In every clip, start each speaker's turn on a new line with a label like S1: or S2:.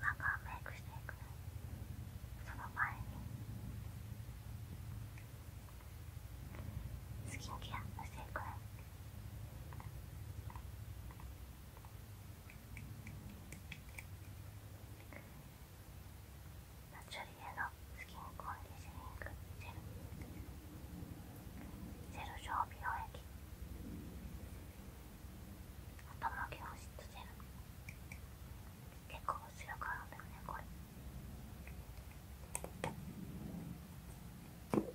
S1: 今からメイクしていくねその前にスキンケアしていくねナチュリエのスキンコンディショニングセルジェル状美容液頭毛保湿ジェル結構強くあるだよねこれこ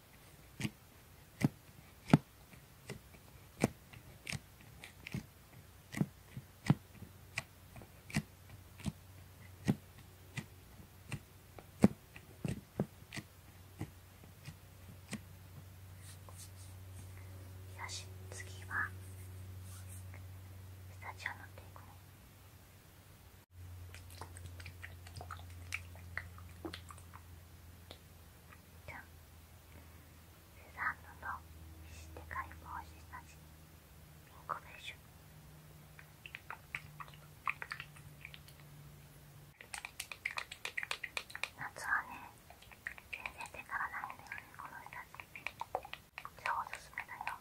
S1: よし次はスタジオ乗っていくね。じゃんセザンヌのシテ解放したしピンコベーション夏はね全然手からないんだよねこの人たち超おすすめだよ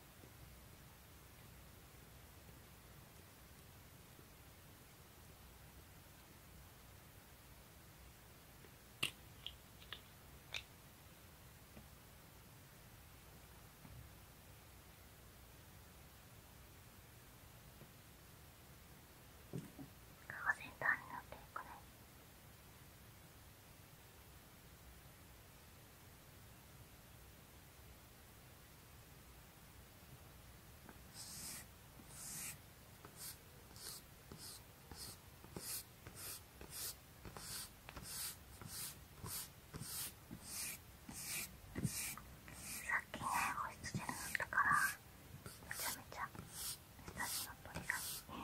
S2: が先端になっていくね。きね保湿ジェル塗ったからめちゃめちゃ目指しの鳥がいいね。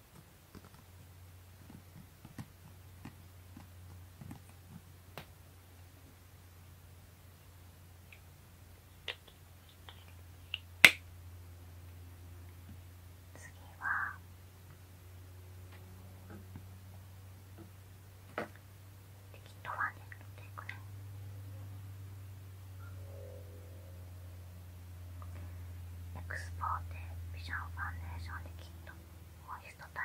S1: 次は適当はね取っていくねエクスポーテービジョンファンデーションできっとモイストタ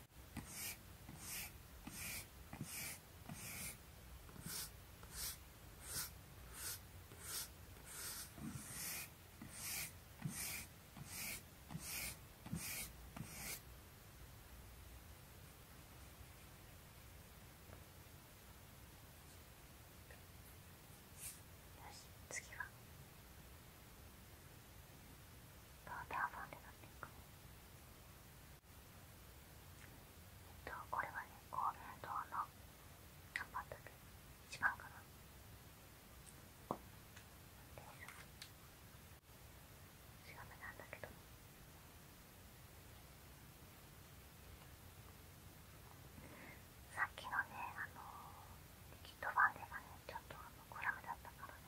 S1: よし次はどうやって遊んでたっていうえっとこれはね神戸のの何番だっけ一番かなです
S2: 調べなんだけどさっきの
S1: ねあのー、キットファンデがねちょっとあのクラムだったからね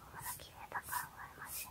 S1: まだ綺麗だから羨ましいな。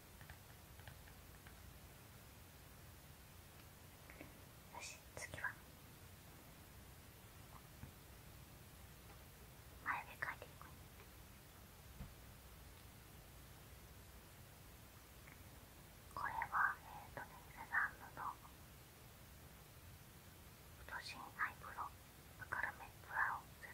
S1: よし次は前毛描いていく。これはえっ、ー、とねセザンヌの太心アイブロウ、明るめブラウン01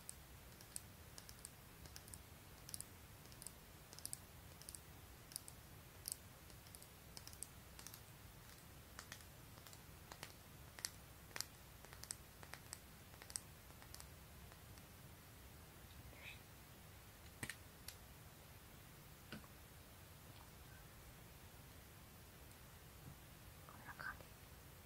S1: こんな感じ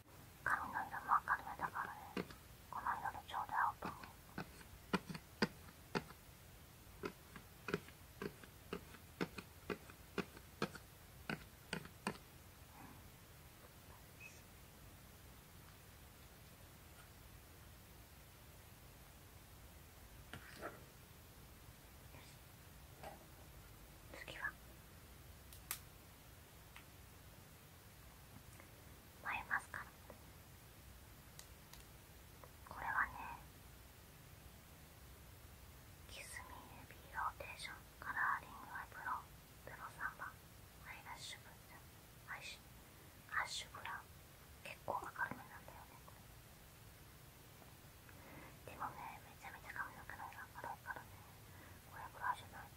S1: 髪の色も明るめだからねこの色でちょうど合うと思う次は。眉マスカラこれはねキスミービーローテーションカラーリングアイブロウプロ3番アイラッシュブラアイシアッシュブラ結構明るめなんだよねでもねめちゃめちゃ髪の毛の色が明るいからねこれぐラいじゃな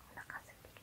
S1: お腹すいてき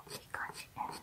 S1: おいい感じね。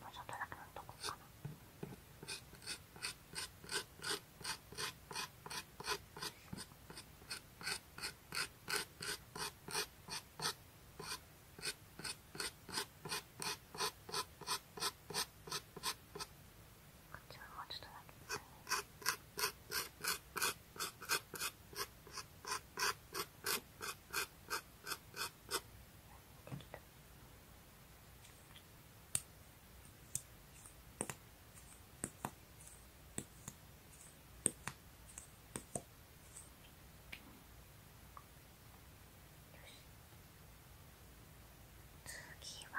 S1: もうちょっとだけのっとこうかなこっちはもうちょっとだけですね。次は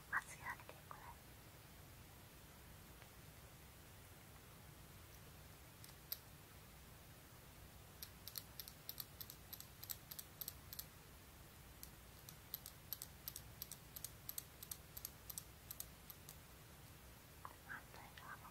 S1: ますやってくれ反対側も。こ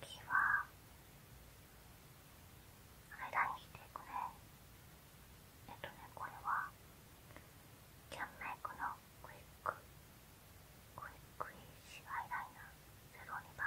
S1: 次は間にしていくねえとねこれはキャンメイクのクイック
S2: クイックイッシ
S1: ュアイライナー02番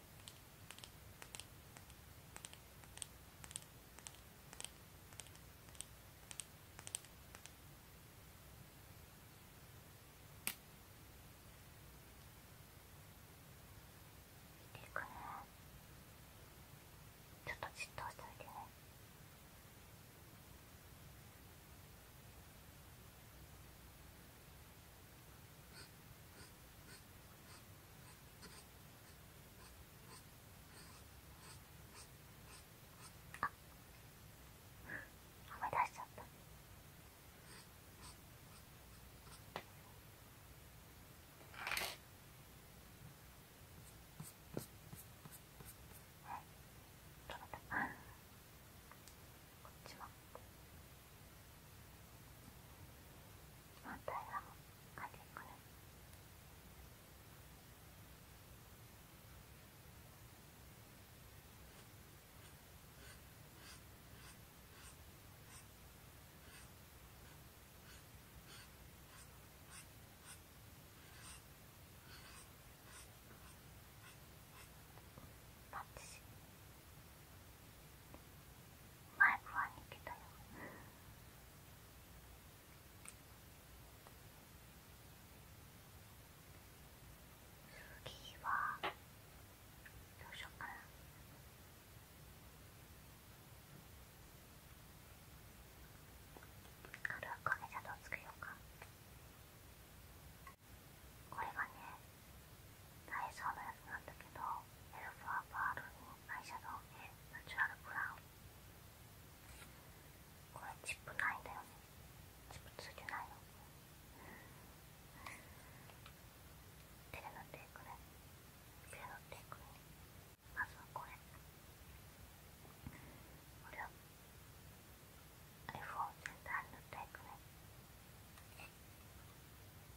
S1: てくねちょっとじっとしていてねあ思い出しちゃったこっちも。反対側もかけてくねパッチシ前不安に来たよ次はどうしようかな軽く影シャドウつけようかこれがねダイソーのやつなんだけどエルファーバールにアイシャドウでナチュラルブラウンこれチップないんだよねチップついてないの手で塗っていくね手で塗っていくねまずはこれこれを iPhone 全体に塗っていくね。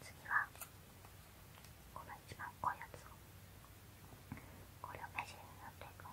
S2: 次はこの一番濃いやつを
S1: これを目尻に塗っていくねこ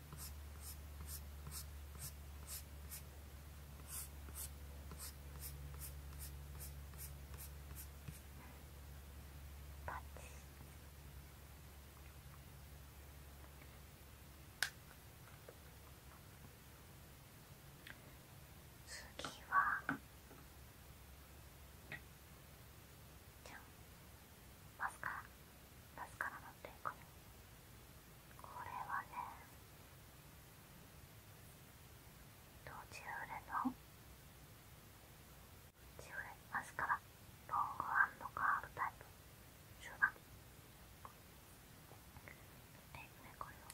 S1: 次はじゃんマスカラマスカラのってこのこれはね途中でのジュレマスカラロングカールタイプ終盤テープねこれをこ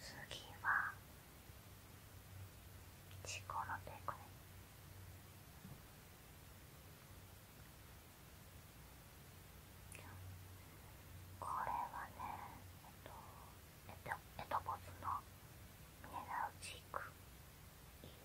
S1: 次はチコロテクこれはねえっとえっとエと、ボスのミネラルチークいい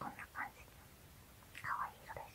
S1: こんな感じかわいい色です。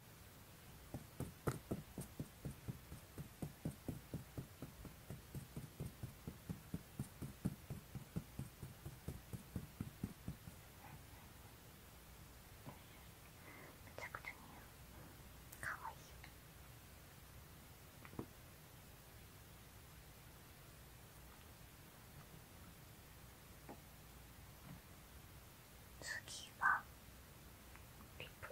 S1: めちゃくちゃ似合うかわいい次はリップ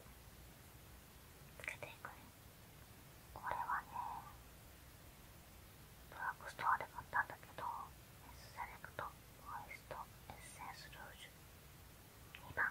S1: つけていくねこれはねドラッグストアで買ったんだけどエスセレクトモイストエッセンスルージュ2番こ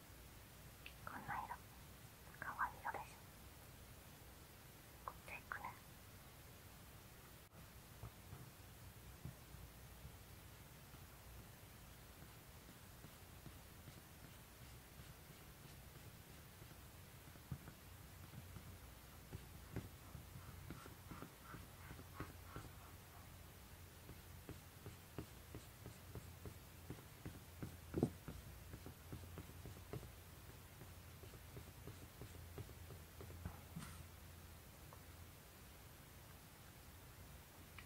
S2: こんな色かわいい色でしょこっち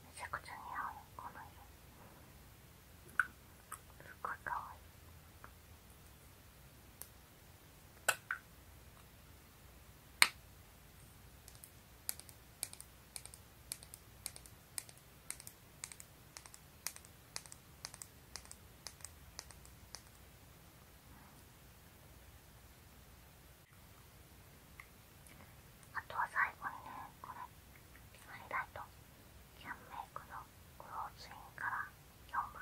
S2: めちゃくちゃ似
S1: 合うこの色すごいかわいい。あとは最後にねこれハイライトキャンメイクのクローズインから4番。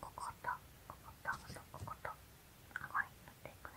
S2: こことこことこことこに塗っていくね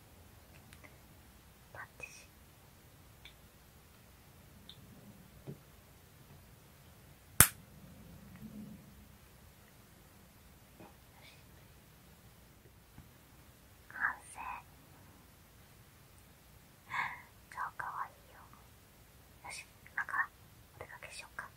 S2: パッチし。
S1: 完成超かわいいよよし今からお出かけしようか